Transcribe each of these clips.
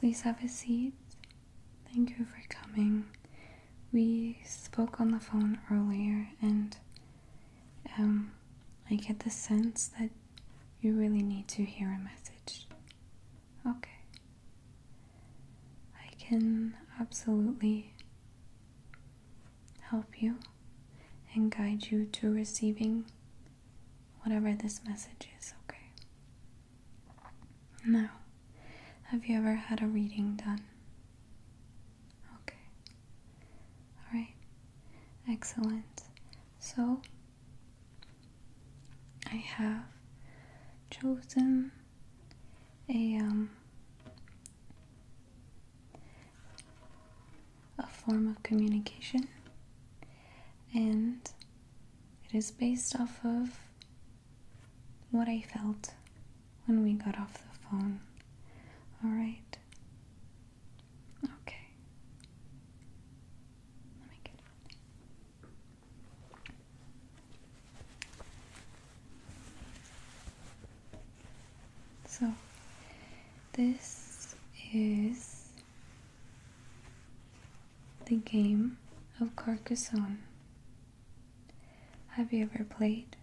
Please have a seat. Thank you for coming. We spoke on the phone earlier, and um, I get the sense that you really need to hear a message. Okay. I can absolutely help you and guide you to receiving whatever this message is, okay? Now, have you ever had a reading done? Okay. Alright. Excellent. So, I have chosen a um, a form of communication, and it is based off of what I felt when we got off the phone. Alright? Okay. Let me get it. So this is the game of Carcassonne. Have you ever played?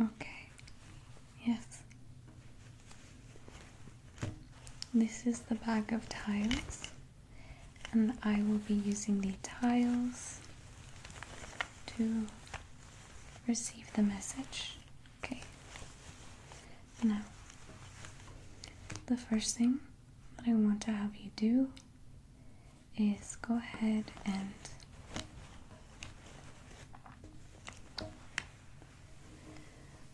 Okay, yes. This is the bag of tiles, and I will be using the tiles to receive the message. Okay. Now, the first thing that I want to have you do is go ahead and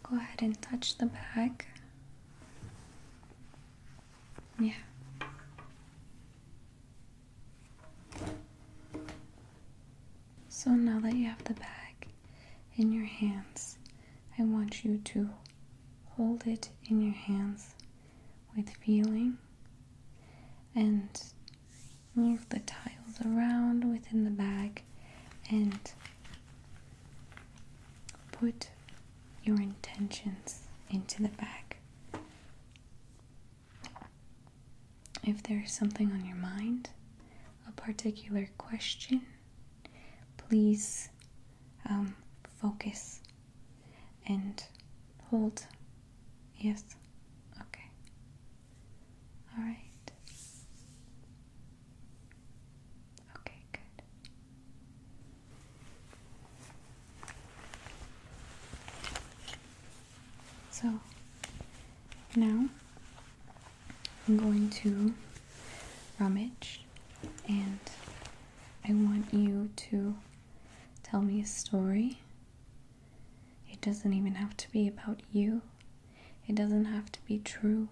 go ahead and touch the bag. Yeah. So now that you have the bag in your hands, I want you to hold it in your hands with feeling and move the tiles around within the bag and put your intentions into the bag. If there's something on your mind, a particular question, please um, focus and hold. Yes. Okay. All right. Okay, good. So now I'm going to rummage and I want you to tell me a story. It doesn't even have to be about you, it doesn't have to be true,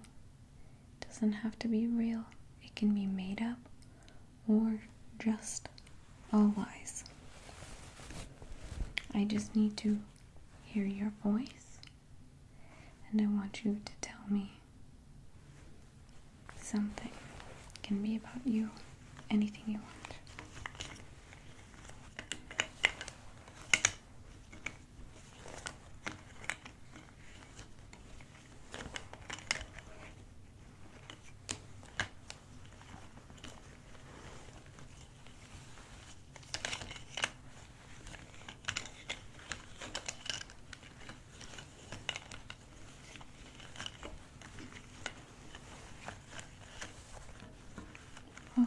it doesn't have to be real. It can be made up or just all lies. I just need to hear your voice, and I want you to tell me something. can be about you, anything you want.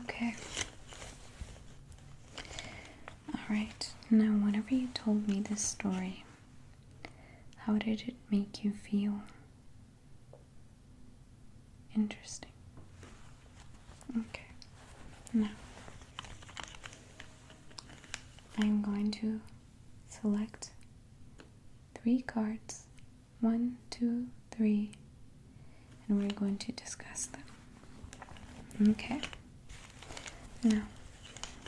Okay. All right. Now, whenever you told me this story, how did it make you feel? Interesting. Okay. Now I'm going to select three cards one, two, three, and we're going to discuss them. Okay. Now,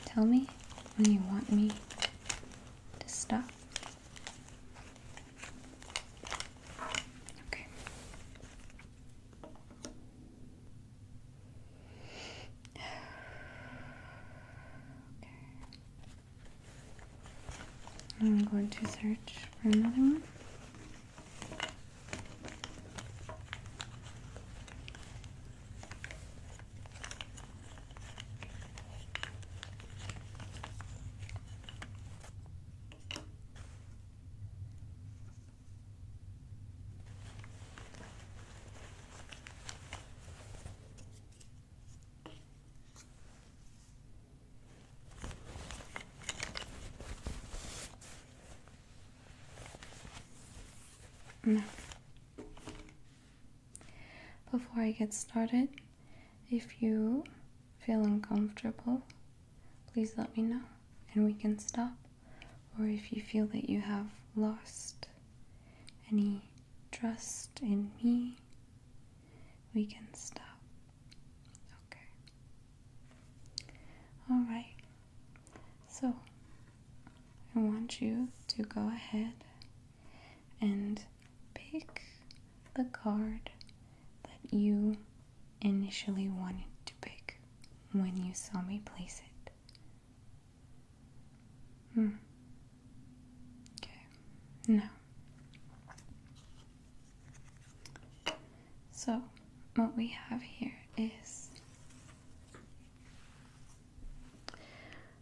tell me when you want me to stop. Okay. okay. I'm going to search for another one before I get started, if you feel uncomfortable, please let me know and we can stop. Or if you feel that you have lost any trust in me, we can stop. Okay. Alright. So, I want you to go ahead and pick the card that you initially wanted to pick when you saw me place it? Hmm. Okay. Now. So, what we have here is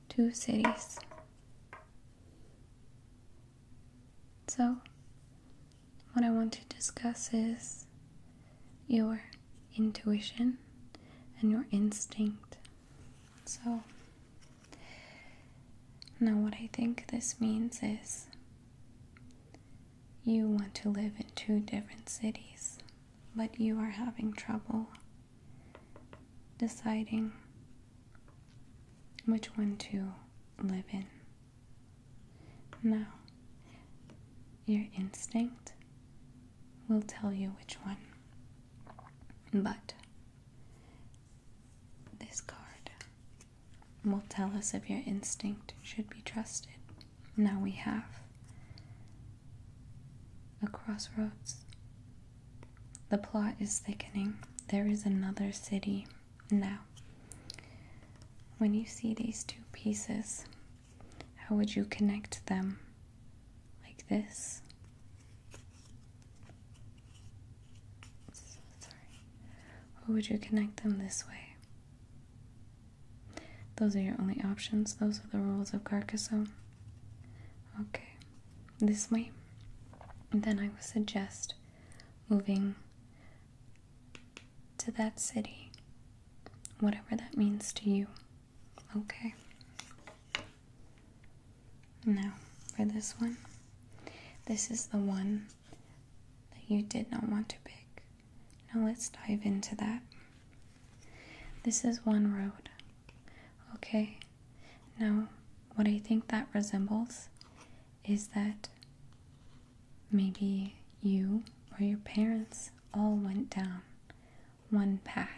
two cities so, what I want to discuss is your intuition and your instinct. So, now what I think this means is you want to live in two different cities, but you are having trouble deciding which one to live in. Now, your instinct will tell you which one. But this card will tell us if your instinct should be trusted. Now we have a crossroads. The plot is thickening. There is another city now, when you see these two pieces, how would you connect them? Like this? Or would you connect them this way? Those are your only options. Those are the rules of Carcassonne. Okay, this way. then I would suggest moving to that city, whatever that means to you. Okay. Now, for this one, this is the one that you did not want to pick. Now, let's dive into that. This is one road. Okay. Now, what do you think that resembles is that maybe you or your parents all went down one path.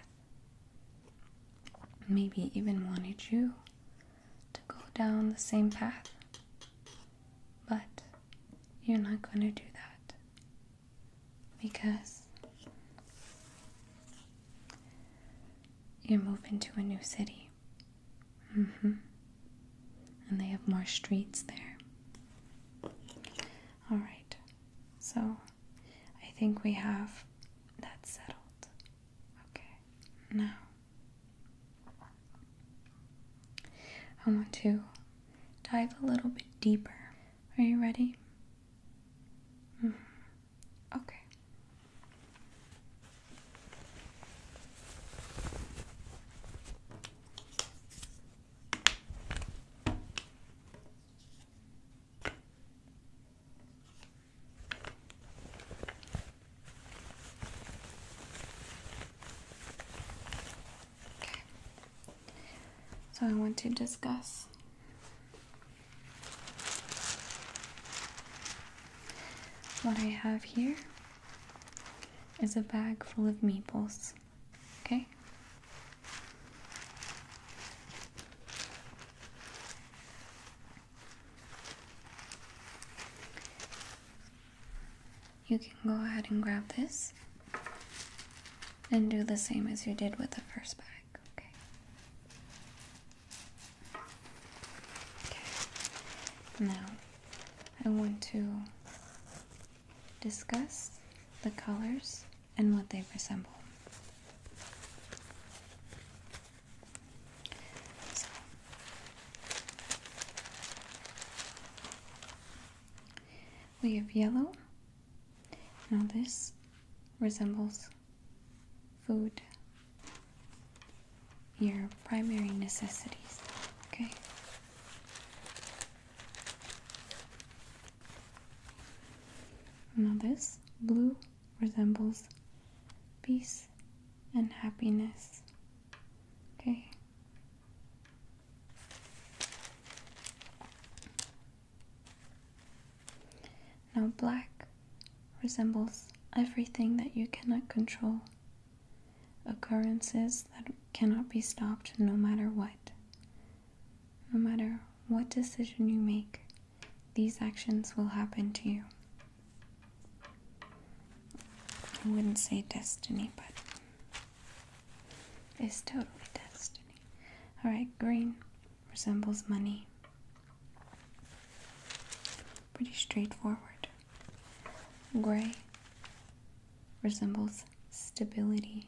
Maybe even wanted you to go down the same path. But you're not going to do that because you move into a new city. Mm hmm. And they have more streets there. Alright, so I think we have that settled. Okay, now I want to dive a little bit deeper. Are you ready? -hmm. Okay. So I want to discuss what I have here is a bag full of maples. Okay? You can go ahead and grab this and do the same as you did with the first bag. Okay. okay. Now, I want to discuss the colors and what they resemble. we have yellow. Now, this resembles food your primary necessities, okay? Now, this blue resembles peace and happiness, okay? Now, black resembles everything that you cannot control occurrences that cannot be stopped no matter what. No matter what decision you make, these actions will happen to you. I wouldn't say destiny, but it's totally destiny. Alright, green resembles money. Pretty straightforward. Gray resembles stability.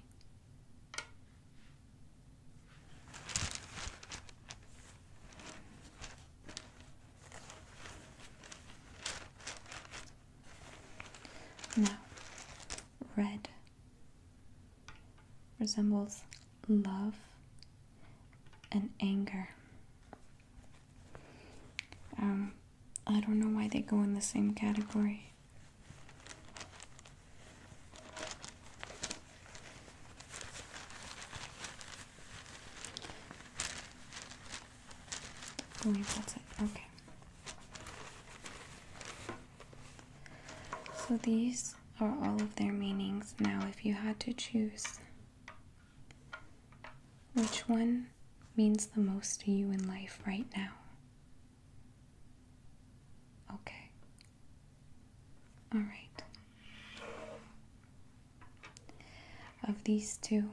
Now, red resembles love and anger. Um, I don't know why they go in the same category. Okay. So these are all of their meanings. Now, if you had to choose which one means the most to you in life right now? Okay. All right. Of these two,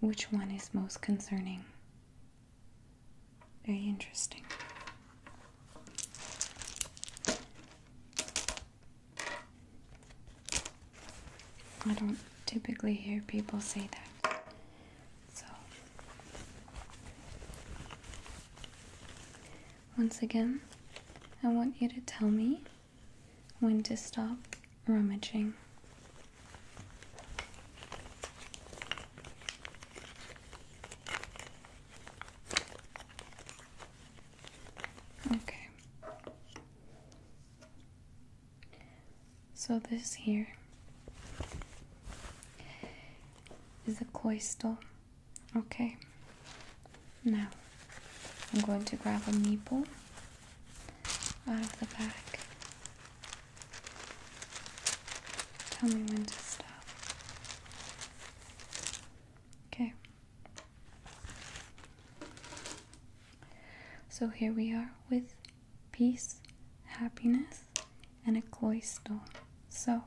which one is most concerning? Very interesting. I don't typically hear people say that. So, once again, I want you to tell me when to stop rummaging. Okay. So, this here is a cloister. Okay, now I'm going to grab a needle out of the bag. Tell me when to stop. Okay. So here we are with peace, happiness, and a cloister. So,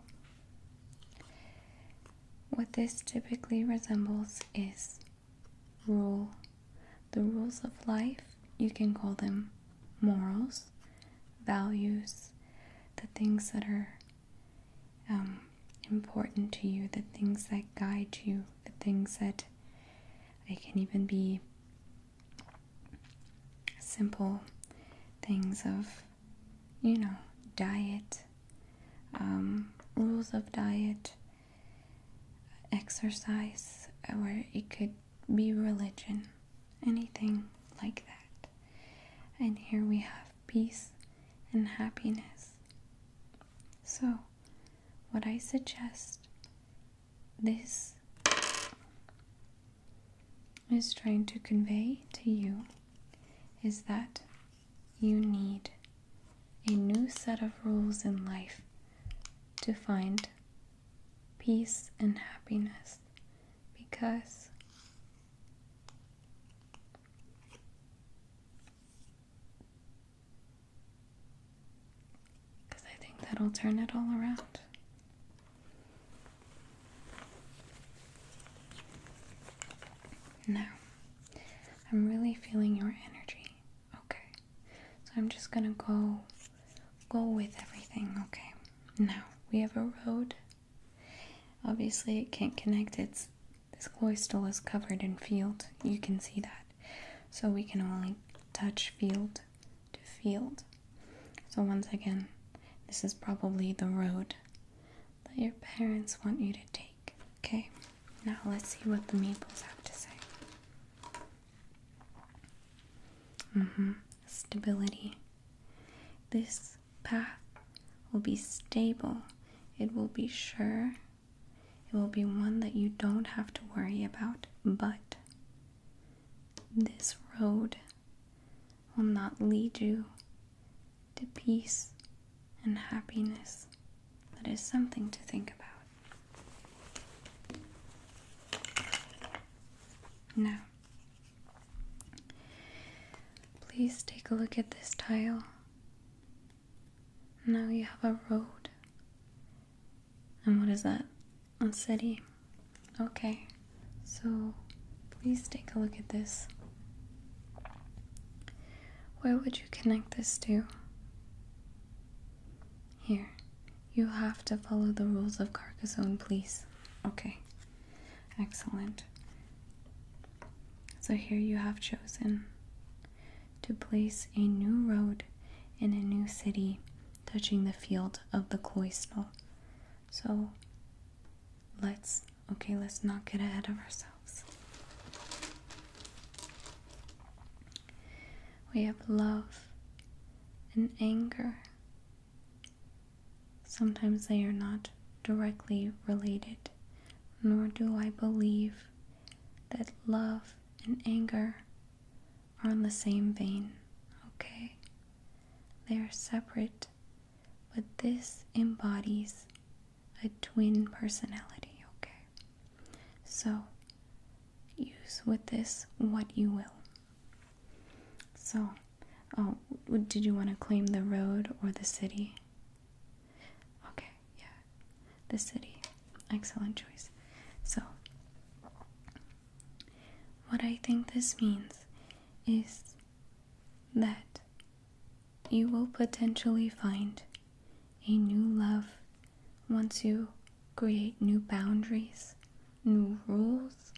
what this typically resembles is rule. The rules of life, you can call them morals, values, the things that are um, important to you, the things that guide you, the things that it can even be simple things of, you know, diet, um, rules of diet, exercise, or it could be religion, anything like that. And here we have peace and happiness. So, what I suggest this is trying to convey to you is that you need a new set of rules in life to find peace and happiness because because I think that'll turn it all around. Now, I'm really feeling your energy. Okay. So I'm just gonna go go with everything, okay? Now, we have a road. Obviously it can't connect, it's this cloister is covered in field. You can see that. So we can only touch field to field. So, once again, this is probably the road that your parents want you to take. Okay, now let's see what the maples have to say. Mm-hmm. Stability. This path will be stable, it will be sure, it will be one that you don't have to worry about, but this road will not lead you to peace and happiness. That is something to think about. Now, please take a look at this tile. Now you have a road and what is that? A city. Okay, so please take a look at this. Where would you connect this to? Here, you have to follow the rules of Carcassonne, please. Okay, excellent. So here you have chosen to place a new road in a new city touching the field of the cloister. So let's, okay, let's not get ahead of ourselves. We have love and anger. Sometimes they are not directly related, nor do I believe that love and anger are on the same vein, okay? They are separate, but this embodies a twin personality, okay? So use with this what you will. So, oh, did you want to claim the road or the city? Okay, yeah, the city. Excellent choice. So, what I think this means is that you will potentially find a new love once you create new boundaries, new rules,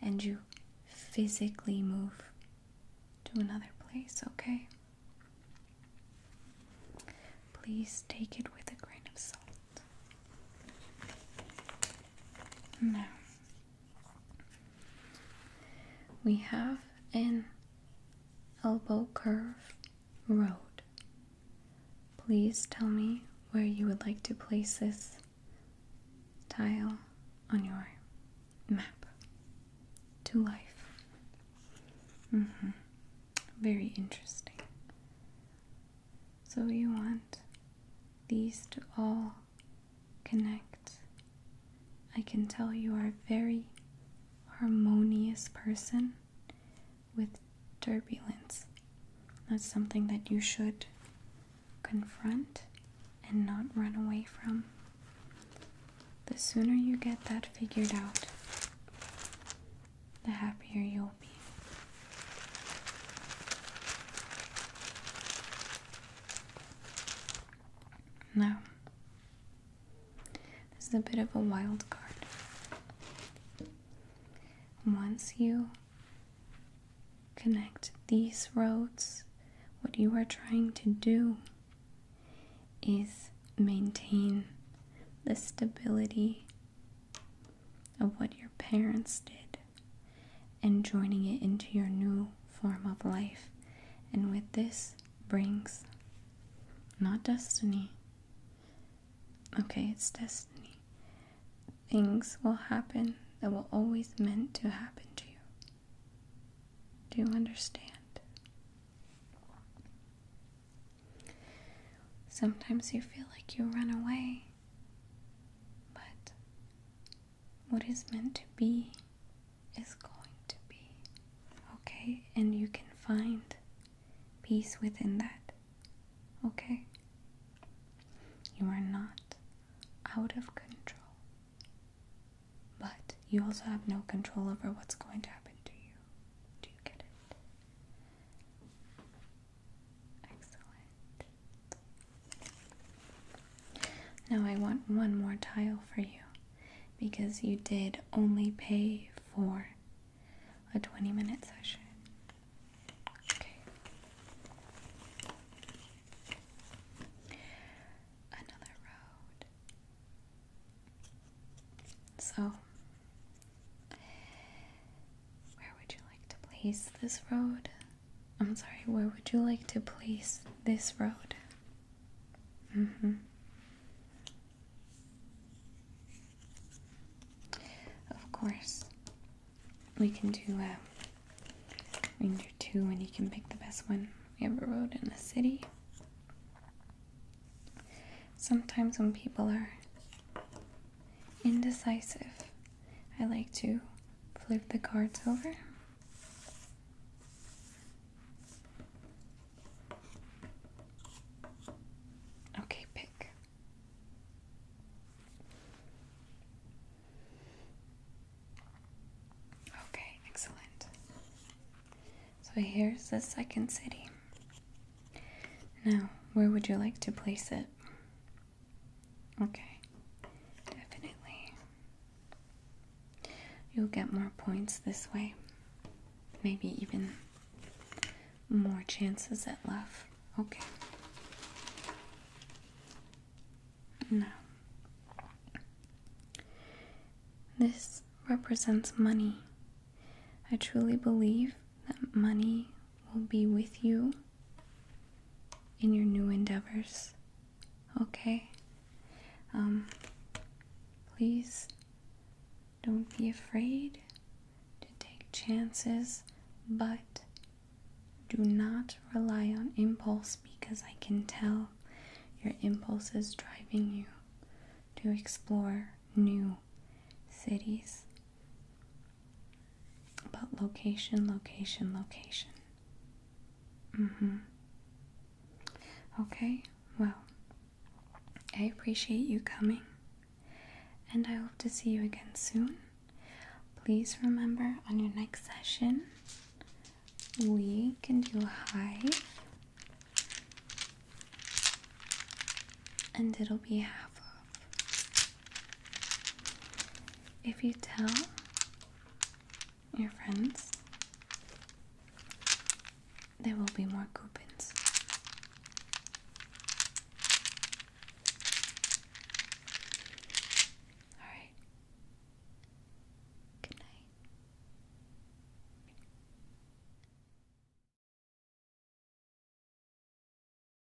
and you physically move to another place, okay? Please take it with a grain of salt. Now we have an elbow curve road. Please tell me where you would like to place this tile on your map to life. Mm -hmm. Very interesting. So you want these to all connect. I can tell you are a very harmonious person with turbulence. That's something that you should confront and not run away from. The sooner you get that figured out, the happier you'll be. Now, this is a bit of a wild card. Once you connect these roads, what you are trying to do is maintain the stability of what your parents did and joining it into your new form of life. And with this brings not destiny. Okay, it's destiny. Things will happen that were always meant to happen to you. Do you understand? Sometimes you feel like you run away but what is meant to be is going to be. Okay? And you can find peace within that. Okay? You are not out of control. But you also have no control over what's going to happen to you. Do you get it? Excellent. Now I want one more tile for you because you did only pay for a 20 minute session. Okay. Another road. So where would you like to place this road? I'm sorry, where would you like to place this road? Mm hmm. Of course, we can do uh, we can do two, and you can pick the best one. We have a road in the city. Sometimes when people are indecisive, I like to flip the cards over. Okay, pick. Okay, excellent. So here's the second city. Now, where would you like to place it? Okay, definitely. You'll get more points this way, maybe even more chances at love. Okay. Now, this represents money. I truly believe that money will be with you in your new endeavors. Okay? Um, please don't be afraid to take chances, but do not rely on impulse because I can tell your impulse is driving you to explore new cities but location, location, location. Mm-hmm. Okay, well, I appreciate you coming, and I hope to see you again soon. Please remember on your next session, we can do a hive, and it'll be half off. If you tell your friends, there will be more coupons. All right. Good night.